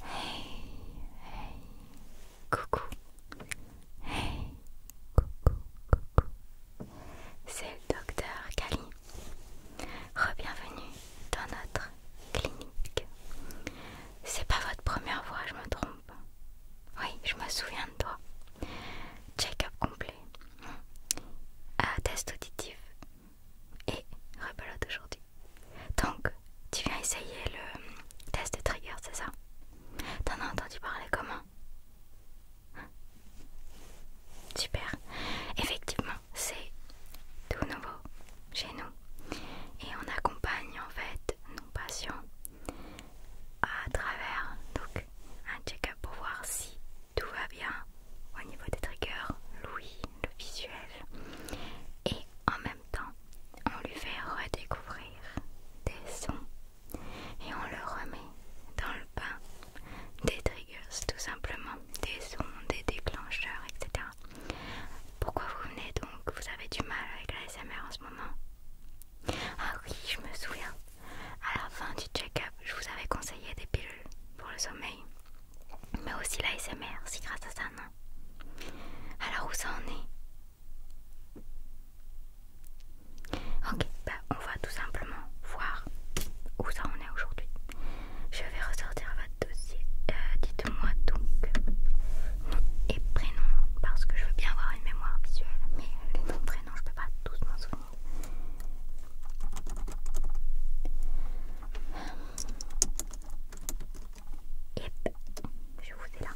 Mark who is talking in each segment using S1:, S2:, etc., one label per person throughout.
S1: Hey, hey, coucou. Hey, coucou, coucou. C'est le docteur Kali. Rebienvenue dans notre clinique. C'est pas votre première fois, je me trompe. Oui, je me souviens de toi. Check-up complet. Mmh. Ah, test auditif. Et rebelote aujourd'hui. Donc, tu viens essayer le test de trigger, c'est ça T'en as entendu parler comment Super. Effectivement, c'est tout nouveau chez nous. Et on accompagne en fait nos patients à travers donc un check-up pour voir si tout va bien au niveau des triggers, l'ouïe, le visuel. Et en même temps, on lui fait redécouvrir des sons et on le remet dans le bain des triggers, tout simplement, des sons, des déclencheurs, etc. Pourquoi vous venez donc Vous avez du mal avec la SMR en ce moment Ah oui, je me souviens. À la fin du check-up, je vous avais conseillé des pilules pour le sommeil mais aussi la SMR, c'est grâce à ça, non Alors où ça en est Ok, bah on va tout simplement voir où ça en est aujourd'hui. Je vais ressortir votre dossier. Euh, dites-moi donc nom et prénom, parce que je veux bien avoir une mémoire visuelle, mais les noms prénoms, je peux pas tous m'en souvenir je vous ai là.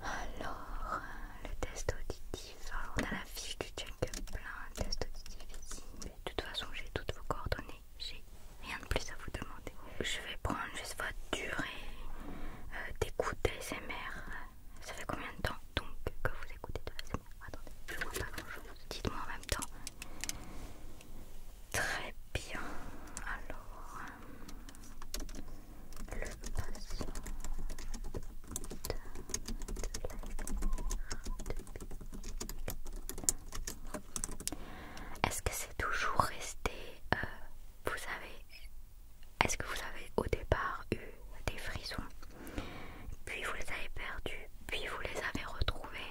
S1: Alors, euh, le test auditif. Alors, on a la fiche du check Plein test auditif ici. De toute façon, j'ai toutes vos coordonnées. J'ai rien de plus à vous demander. Je vais prendre juste votre durée d'écouter euh, d'écoute ASMR. Ça fait combien de temps donc que vous écoutez de l'ASMR Attendez, je vois pas grand chose. Dites-moi en même temps. Très bien. Alors, le Est-ce que c'est toujours resté euh, Vous avez Est-ce que vous avez au départ eu des frissons Puis vous les avez perdus, puis vous les avez retrouvés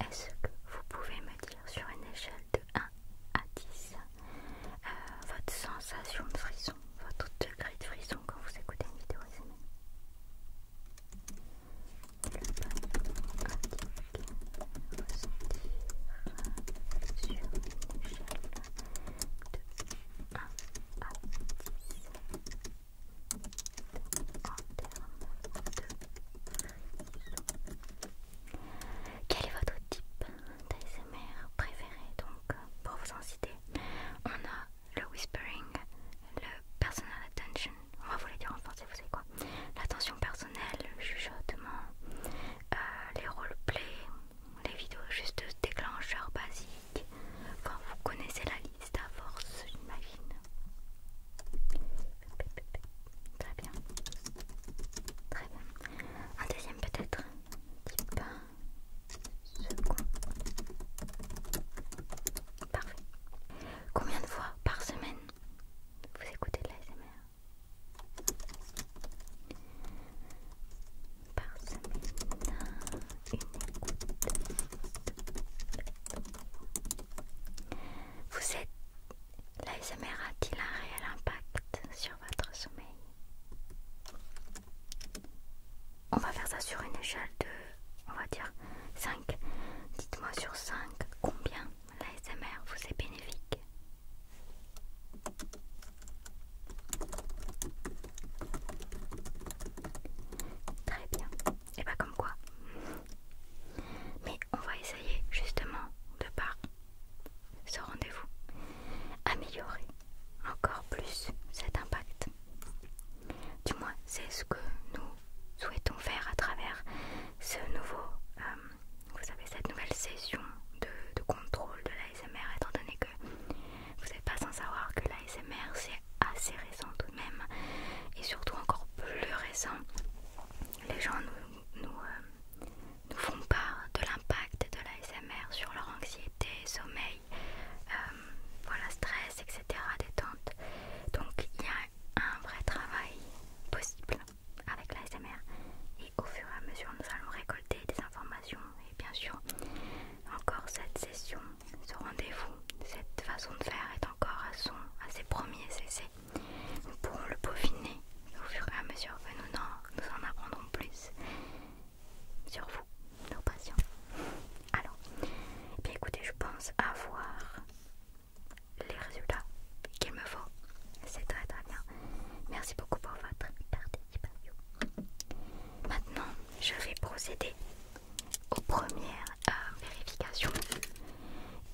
S1: Est-ce que vous pouvez me dire sur une échelle de 1 à 10 euh, votre sensation de frisson, votre degré de frisson quand vous écoutez une vidéo résumée quel est votre type d'ASMR préféré Donc, pour vous en citer, on a le whispering, le personal attention, on va vous les dire en français, vous savez quoi L'attention personnelle, le chuchotement, euh, les roleplays, les vidéos juste déclencheurs basiques vous connaissez la liste à force, j'imagine. Très bien. Très bien. Un deuxième peut-être. Ce second. Parfait. Combien de fois par semaine vous écoutez de la Par semaine. Vous êtes. L'ASMR a-t-il un réel impact sur votre sommeil On va faire ça sur une échelle de, on va dire, 5. Dites-moi sur 5 combien l'ASMR vous est bénéfique. Très bien. Et pas bah, comme quoi. Mais on va essayer justement de par ce rendez-vous améliorer encore plus cet impact. Du moins, c'est ce que nous souhaitons faire à travers ce nouveau, euh, vous savez, cette nouvelle session de, de contrôle de l'ASMR, étant donné que vous n'êtes pas sans savoir que l'ASMR c'est assez récent tout de même et surtout encore plus récent. Les gens nous, euh, font part de l'impact de l'ASMR sur leur anxiété, sommeil, euh, voilà, stress, etc. détente. Donc il y a un vrai travail possible avec l'ASMR et au fur et à mesure nous allons récolter des informations et bien sûr encore cette session ce rendez-vous, cette façon de faire est encore à, son, à ses premiers essais. Nous pourrons le peaufiner au fur et à mesure que nous en, nous en apprendrons plus sur vous, nos patients. Alors, eh écoutez, je pense avoir les résultats qu'il me faut. C'est très très bien. Merci beaucoup pour votre participation. Maintenant, je vais procéder aux premières euh, vérifications.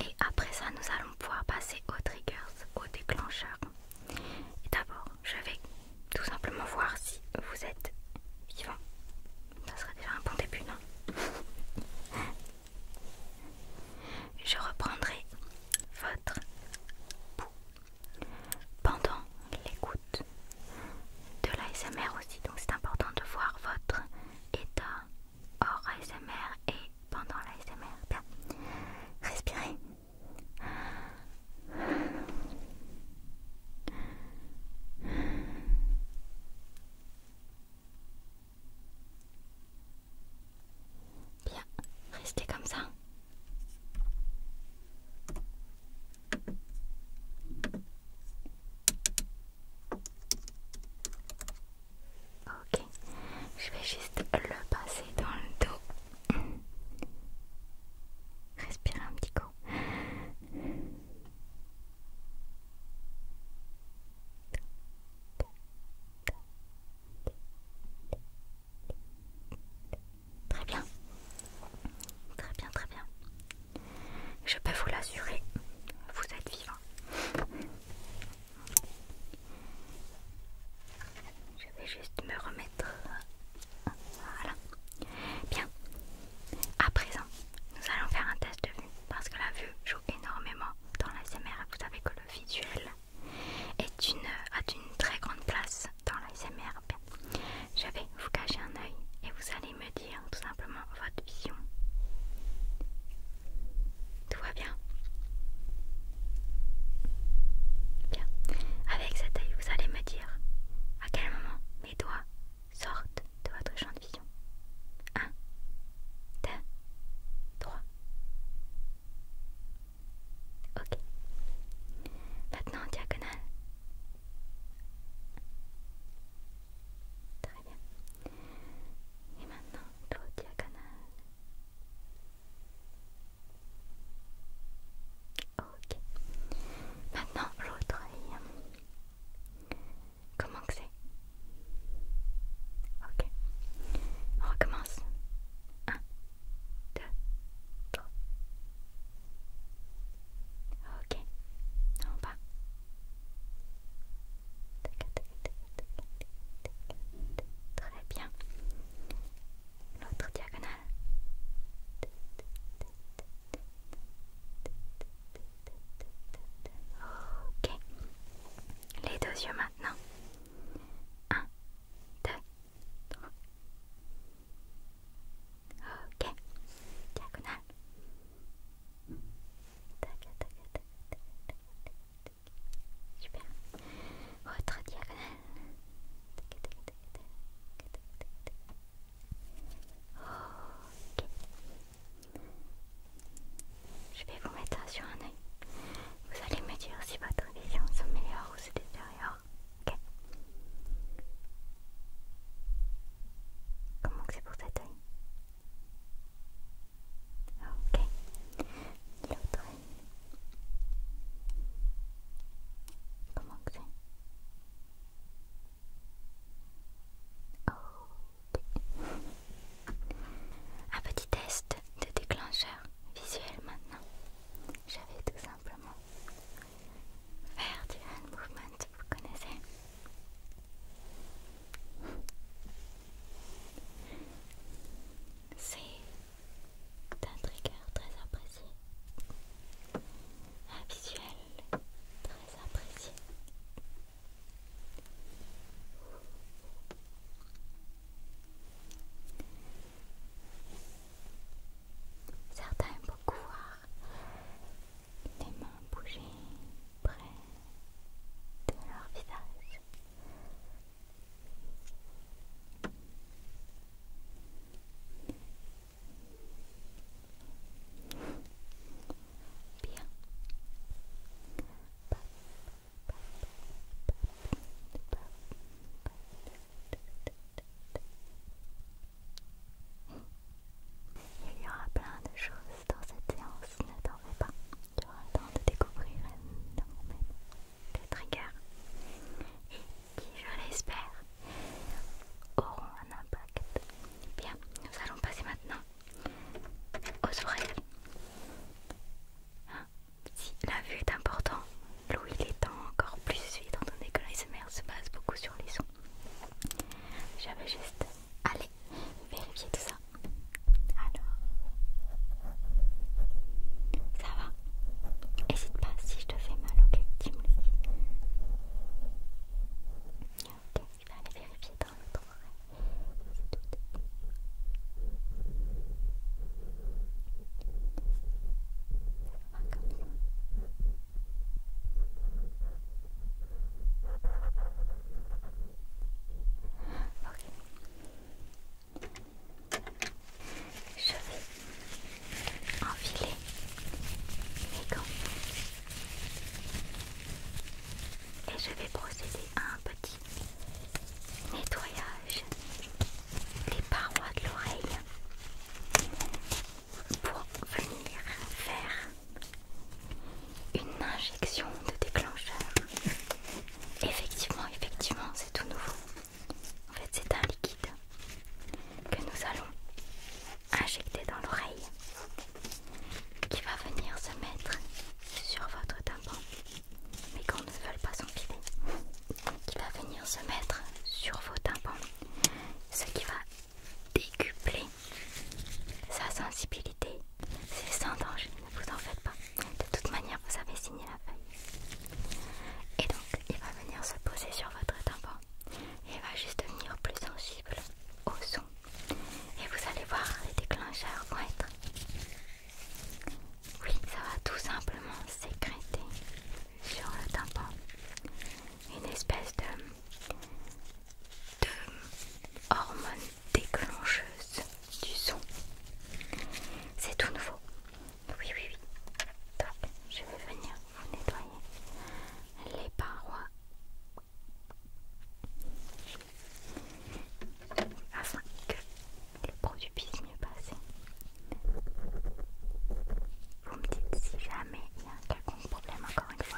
S1: Et après ça, nous allons pouvoir passer aux triggers, aux déclencheurs. D'abord, je vais tout simplement voir si vous êtes vivant. Ça serait déjà un bon début, non Je reprendrai votre boue pendant l'écoute de l'ASMR aussi, donc c'est important de voir votre état hors ASMR et pendant l'ASMR. Bien, respirez. Bien, restez comme ça. Ok, je vais juste le passer dans le dos. Respire un petit coup. Très bien. Très bien, très bien. Je peux vous l'assurer, vous êtes vivant. Je vais juste me remettre. Voilà. Bien. À présent, nous allons faire un test de vue parce que la vue joue énormément dans la Vous savez que le visuel est une, a une très grande place dans la Je vais vous cacher un œil et vous allez me dire tout simplement votre vision. Tout va bien Bien. Avec cet œil, vous allez me dire à quel moment mes doigts sortent de votre champ de vision. 1, 2, 3. Ok. Maintenant en diagonale. Très bien. Et maintenant, l'autre diagonale. Ok. Maintenant, l'autre Comment que c'est Ok. On recommence. 1, 2, trois. Ok. En bas. Très bien. L'autre diagonale. Ok. Les deux yeux maintenant. Un, deux, trois. OK. Diagonale. diagonale. OK. Je vais vous mettre sur un œil. Vous allez me dire si votre vision s'améliore ou se détériore. Ok. Comment que c'est pour cet oeil Ok. L'autre oeil. Comment que c'est Ok. Un petit test de déclencheur visuel maintenant. Je vais tout simplement faire du hand movement, vous connaissez c'est un trigger très apprécié, un visuel très apprécié. Certains aiment beaucoup voir les mains bouger près de leur visage. Bien. Il y aura plein de choses dans cette séance, ne t'en pas. Tu auras le temps de découvrir énormément de triggers et qui, je l'espère, auront un impact. Bien, nous allons passer maintenant aux oreilles. Hein? si la vue est importante, il l'étant encore plus, étant donné que l'ASMR se base beaucoup sur les sons. J'avais juste allez vérifiez tout ça. Alors, ça va N'hésite pas si je te fais mal, ok Dis-moi. Ok, je vais aller vérifier dans ça va comme je vais enfiler mes gants et je vais procéder à un petit nettoyage des parois de l'oreille pour venir faire une injection de déclencheur. Effectivement, effectivement, c'est tout nouveau. En fait, c'est un liquide que nous allons injecter dans l'oreille qui va venir se mettre sur votre tympan, mais qu'on ne veut pas pivot. qui va venir se mettre sur vos tympans, ce qui va décupler sa sensibilité. C'est sans danger, ne vous en faites pas. De toute manière, vous avez signé la feuille. Et donc, il va venir se poser sur votre tympan. Il va juste devenir plus sensible au son. Et vous allez voir, les déclencheurs vont être... Oui, ça va tout simplement sécréter sur le tympan. Une espèce de de hormones déclencheuses du son. C'est tout nouveau. Oui, oui, oui. Donc, je vais venir vous nettoyer les parois afin que le produit puisse mieux passer. Vous me dites si jamais il y a un quelconque problème encore une fois.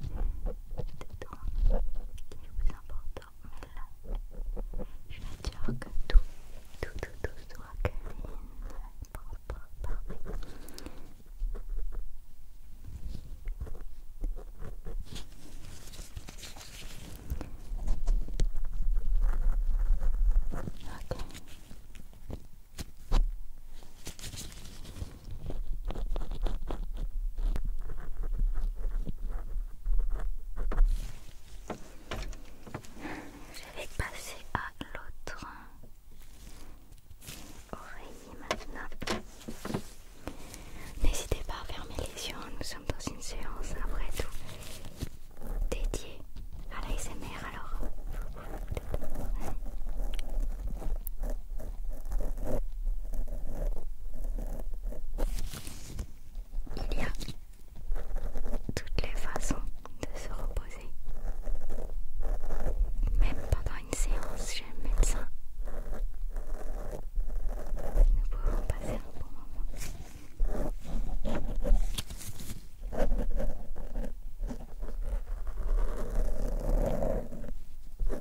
S1: C'est tout. est plus important. je vais dire que tout, tout, tout, tout soit Parle, parfait. Ok. Je vais passer à l'autre oreille maintenant. N'hésitez pas à fermer les yeux, nous sommes dans une séance après tout dédiée à l'ASMR alors. Il y a toutes les façons de se reposer. Même pendant une séance chez le médecin, nous pouvons passer un bon moment. Oui,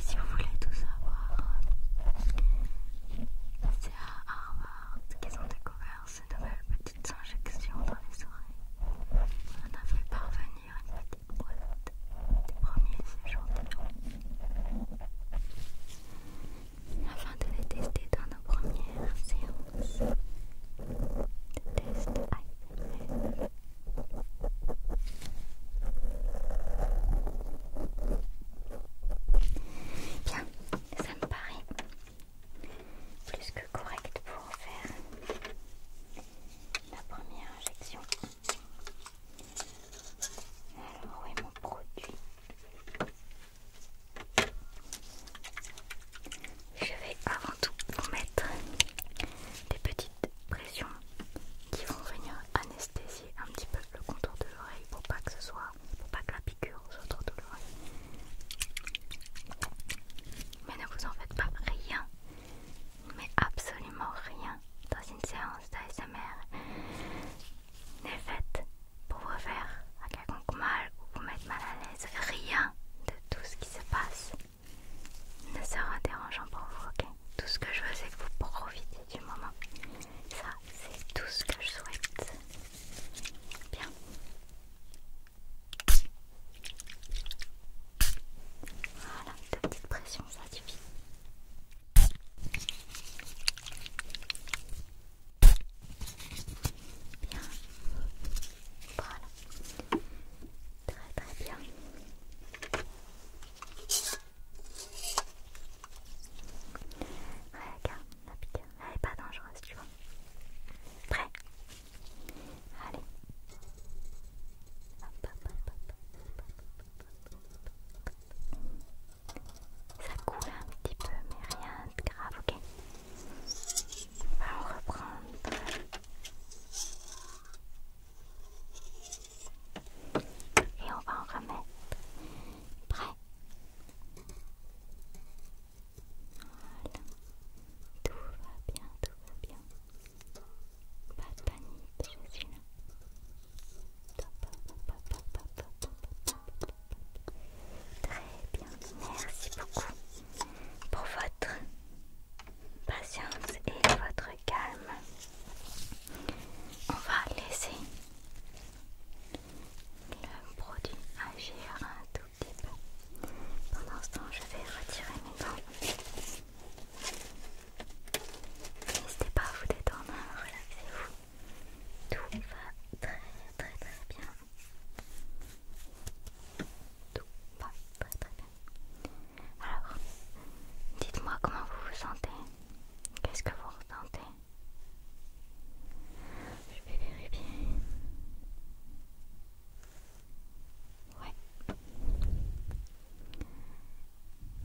S1: si vous voulez tout savoir, c'est à Harvard qu'ils ont découvert ces nouvelles euh, petites injections dans les oreilles, on a fait parvenir une petite boîte des premiers échantillons afin de les tester dans nos premières séances de test Bien, ça me paraît plus que correct pour faire la première injection. Alors, où est mon produit Je vais avant tout vous mettre des petites pressions qui vont venir anesthésier un petit peu le contour de l'oreille pour pas que ce soit pour pas que la piqûre soit trop douloureuse. Mais ne vous en faites pas rien, mais absolument rien dans une séance d'ASMR n'est faite pour vous faire un quelconque mal ou vous mettre mal à l'aise. Rien de tout ce qui se passe ne sera dérangeant pour vous, ok Tout ce que je veux, c'est que vous profitiez du moment. Ça, c'est tout ce que je souhaite. Bien. Voilà, deux petite pression ça suffit. Bien. Voilà. Très très bien. Ouais, regarde, la pique. elle est pas dangereuse, tu vois. Prêt Allez. Ça coule un petit peu, mais rien de grave, ok On va en reprendre. Et on va en remettre. Prêt voilà. Tout va bien, tout va bien. Pas de panique, je suis là. Très bien, merci beaucoup pour votre patience et votre calme. On va laisser le produit agir un tout pendant ce temps, je vais retirer mes dents. N'hésitez pas à vous détendre, relaxez-vous. Tout va très très très bien. Tout va très très bien. Alors, dites-moi comment vous vous sentez. Qu'est-ce que vous ressentez Je vais vérifier. Ouais.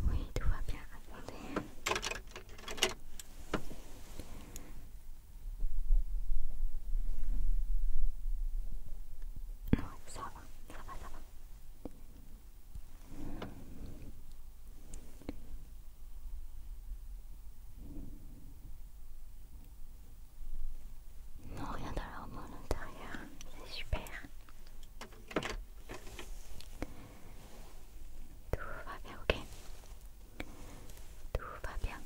S1: Oui, tout va bien. Attendez. Non, ça va, ça va, ça va. Non, rien dans leur monde intérieur, c'est super. Tout va bien, ok Tout va bien.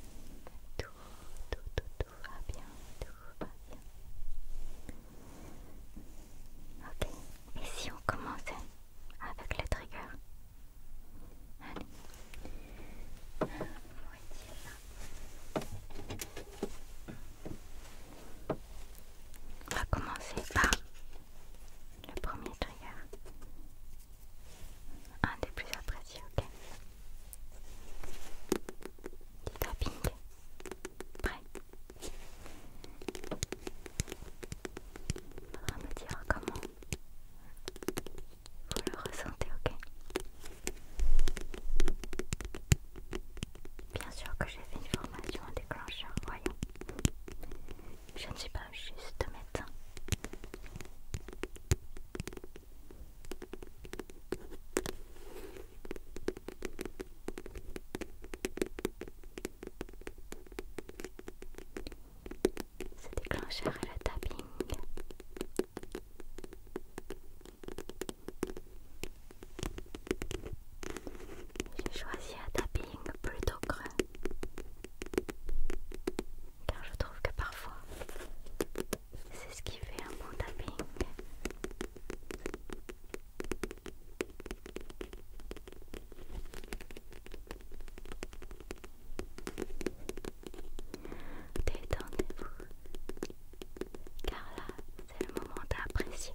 S1: Tout, tout, tout, tout va bien. Tout va bien. Ok, et si on commence avec le trigger Allez. On va commencer par le premier trigger. Un des plus appréciés, ok Du tapping. Prêt va me dire comment vous le ressentez, ok Bien sûr que j'ai fait une formation en déclencheur, voyons. Je ne suis pas juste médecin. ce déclencheur et le tapping j'ai choisi un tapping plutôt creux car je trouve que parfois c'est ce qui fait un bon tapping. Détendez-vous car là c'est le moment d'apprécier.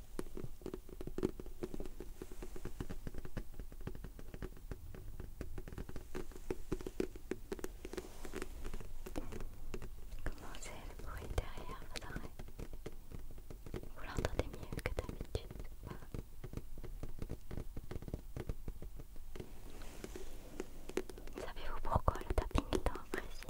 S1: Comment c'est le bruit derrière Vous l'entendez mieux que d'habitude Savez-vous pourquoi le tapping est tant apprécié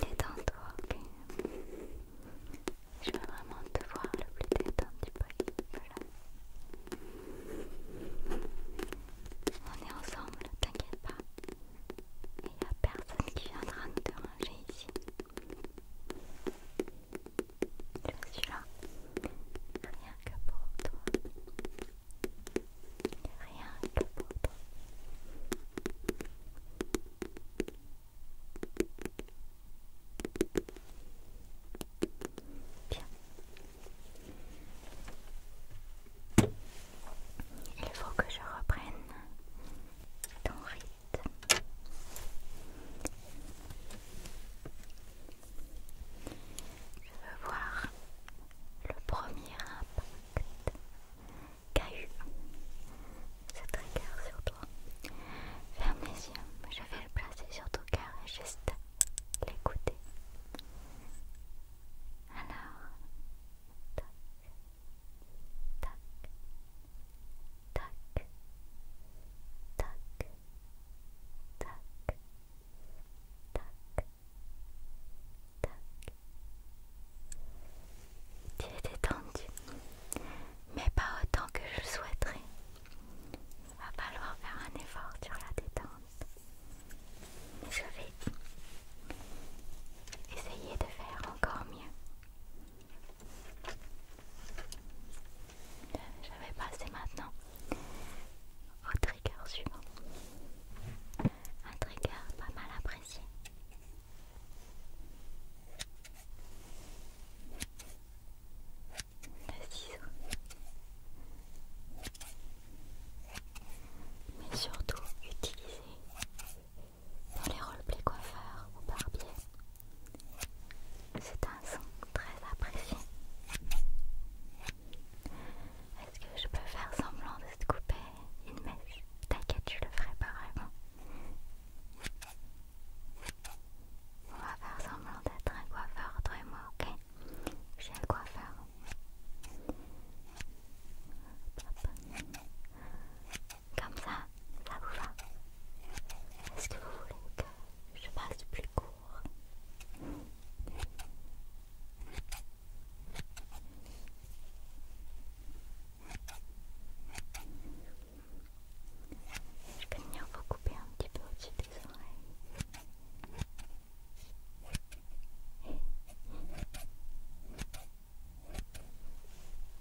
S1: Détends-toi, ok Je veux vraiment te voir le plus détendu possible voilà. On est ensemble, t'inquiète pas. Il n'y a personne qui viendra nous déranger ici. Je suis là, rien que pour toi, rien que pour toi. Bien. Il faut que je reprenne ton rythme. Je veux voir le premier impact qu'a eu cette regard sur toi. Ferme les yeux, je vais le placer sur ton cœur et juste l'écouter. Alors, tac, tac, tac, tac, tac, tac, tac. Tu es détendu, mais pas autant que je souhaiterais. Il va falloir faire un effort sur la détente. Je vais essayer de faire encore mieux. Je vais passer maintenant au trigger suivant. Un trigger pas mal apprécié. Le ciseau. Mais surtout utilisé dans les roleplays coiffeurs ou barbiers c'est un son très apprécié. Est-ce que je peux faire semblant de te couper une mèche T'inquiète, je le ferai pas vraiment. On va faire semblant d'être un coiffeur, toi et moi, ok J'ai un coiffeur. Hop, comme ça, ça vous va Est-ce que vous voulez que je passe plus court Je peux venir vous couper un petit peu au-dessus des oreilles.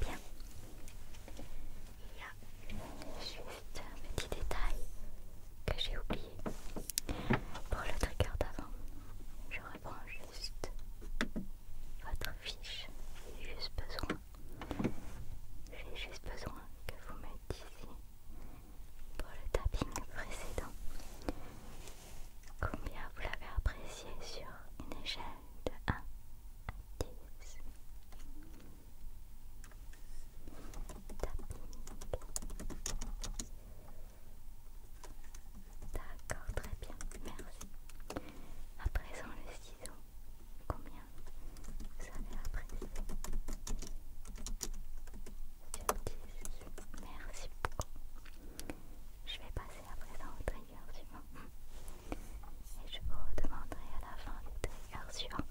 S1: Bien. Il y a juste un petit détail que j'ai oublié. Pour le trigger d'avant, je reprends juste votre fiche. J'ai juste besoin. J'ai juste besoin que vous me disiez pour le tapping précédent combien vous l'avez apprécié sur une échelle de 1 D'accord, très bien, merci. À présent, le ciseau, combien vous savez après Sur 10, merci beaucoup. Je vais passer à présent au trigger suivant. Et je vous demanderai à la fin de trigger suivant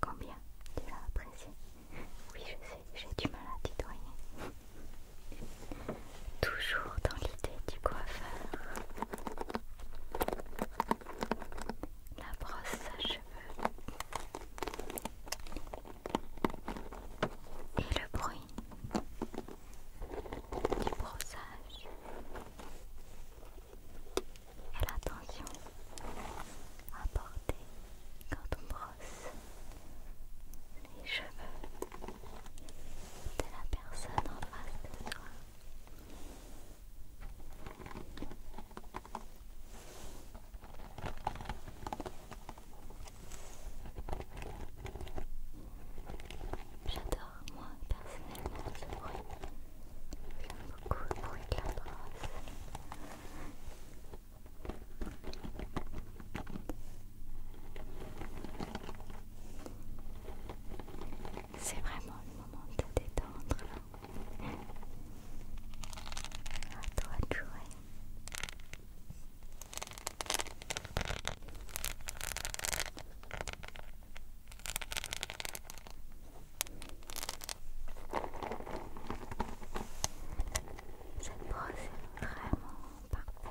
S1: combien tu l'as apprécié. Oui, je sais, j'ai du mal à titoyer. Toujours dans l'idée du coiffeur. La brosse à cheveux. Et le bruit du brossage et l'attention apportée quand on brosse les cheveux de la personne en face de toi. J'adore alors moi personnellement ce bruit, j'aime beaucoup le bruit de la brosse. C'est vraiment le moment de te détendre là. À toi de jouer. Cette brosse est vraiment parfaite.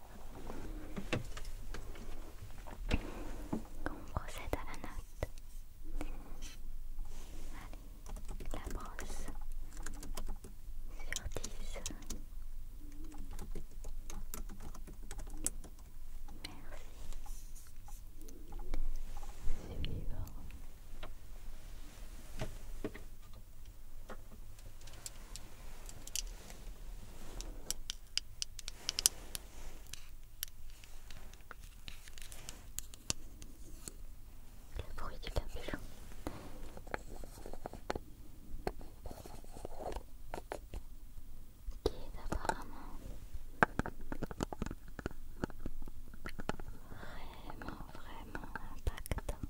S1: on procède à la note. Allez, la brosse sur dix. Merci. Suivant. Voilà. Le bruit du capuchon. Qui est apparemment vraiment, vraiment impactant.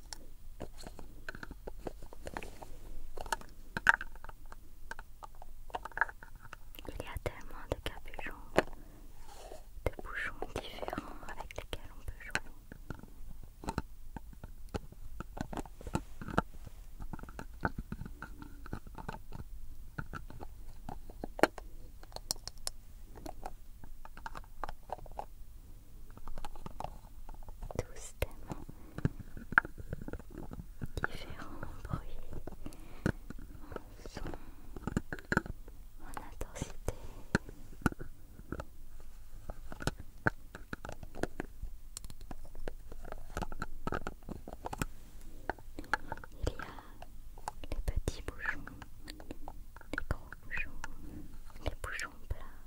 S1: Il y a tellement de capuchons, de bouchons différents avec lesquels on peut jouer tous tellement différents bruits, en son, en intensité. Il y a les petits bouchons, les gros bouchons, les bouchons plats,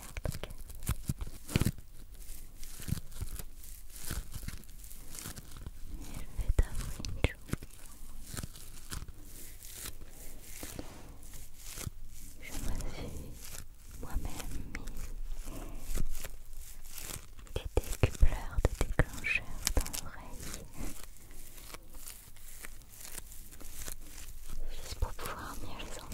S1: Je me suis moi-même mis des décupleurs, de déclencheurs dans l'oreille juste pour pouvoir mieux les entendre.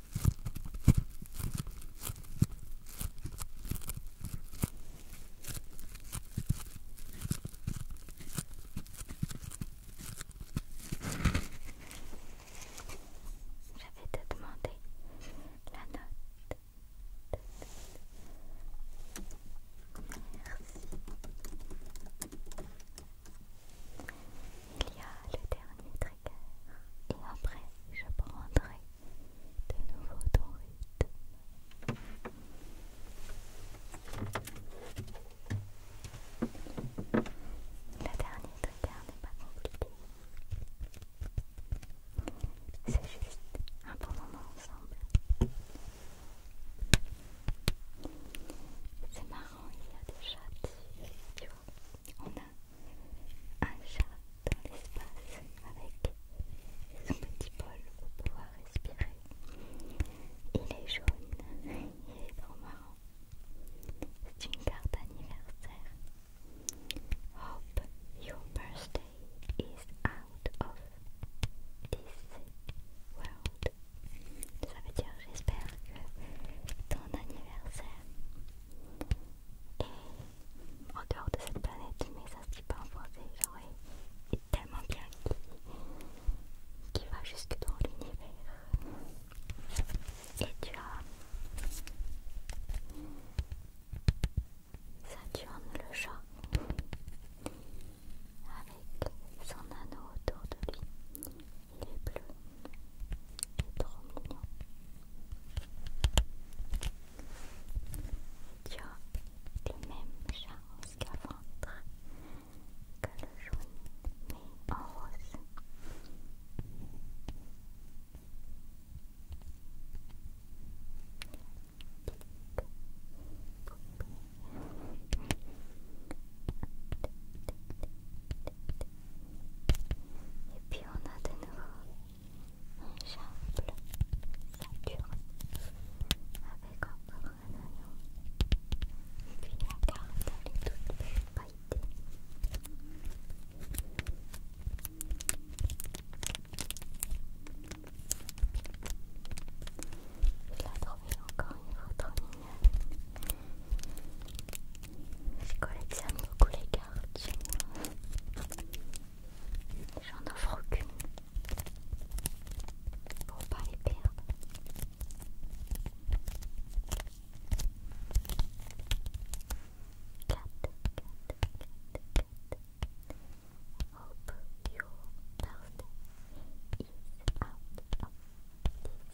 S1: J'avais te demandé la note. Merci. Il y a le dernier trigger et après je prendrai de nouveau ton rythme. Le dernier trigger n'est pas compliqué. C'est juste un bon moment ensemble. C'est marrant il y a des chats, tu vois. On a un chat dans l'espace avec son petit bol pour pouvoir respirer. Il est jaune, il est trop marrant. C'est une carte d'anniversaire. Hope your birthday is out of this world. Ça veut dire j'espère que ton anniversaire est en dehors de cette planète, mais ça se dit pas en français, genre tellement bien qui va jusque dans l'univers. Et tu as Saturne le chat avec son anneau autour de lui il est bleu. Il est trop mignon. Tu as les même genre qu'avant que le jaune, mais en rose. Poupée. Et puis on a de nouveau un ça dure avec encore un anneau. Et puis la carte elle est toute pailletée. Je l'ai trouvé encore une fois trop mignonne. Je collectionne beaucoup les cartes J'en offre aucune pour pas les perdre. Cat, cat, cat, cat. Hope your birthday is out of this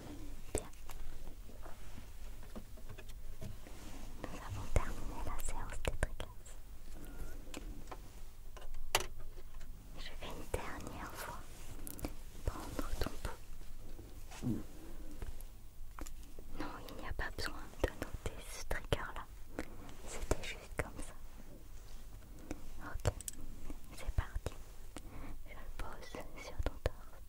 S1: Bien. Nous avons terminé la séance des triggers. Je vais une dernière fois prendre ton pouls. Non, il n'y a pas besoin de noter ce trigger-là. C'était juste comme ça. Ok, c'est parti. Je le pose sur ton torse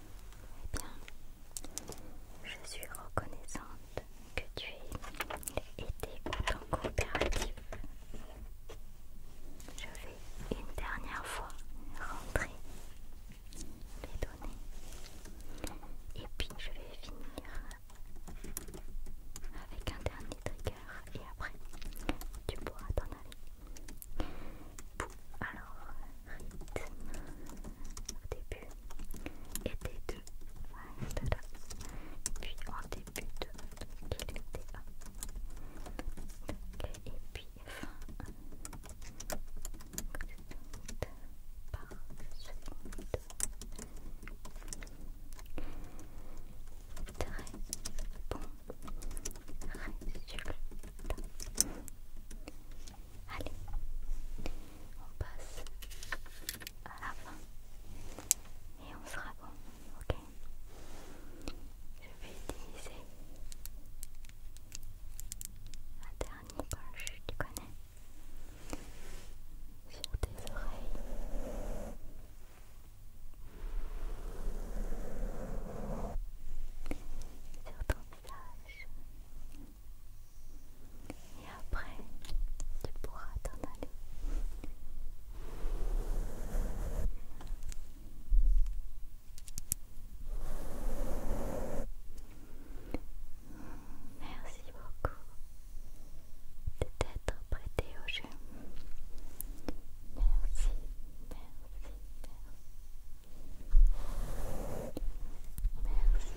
S1: Eh bien, je suis reconnaissante que tu aies été en coopératif. Je vais une dernière fois rentrer les données et puis je vais finir avec un dernier trigger et après tu pourras t'en aller. Alors, rythme au début et des deux. puis en début de donc 1. et puis fin par seconde. Très bon résultat. Allez, on passe à la fin et on sera bon, ok Je vais utiliser la dernière poche, tu connais, sur tes oreilles. Et après, tu pourras t'en aller. Merci beaucoup de t'être prêté au jeu. merci, merci. Merci.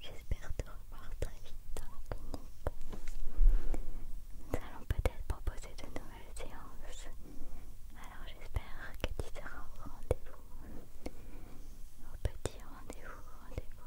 S1: J'espère te revoir très vite dans Nous allons peut-être proposer de nouvelles séances. Alors j'espère que tu seras au rendez-vous. Au petit rendez-vous, rendez-vous.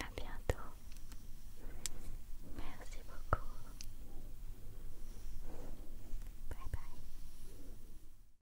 S1: À bientôt. Merci beaucoup. Bye bye.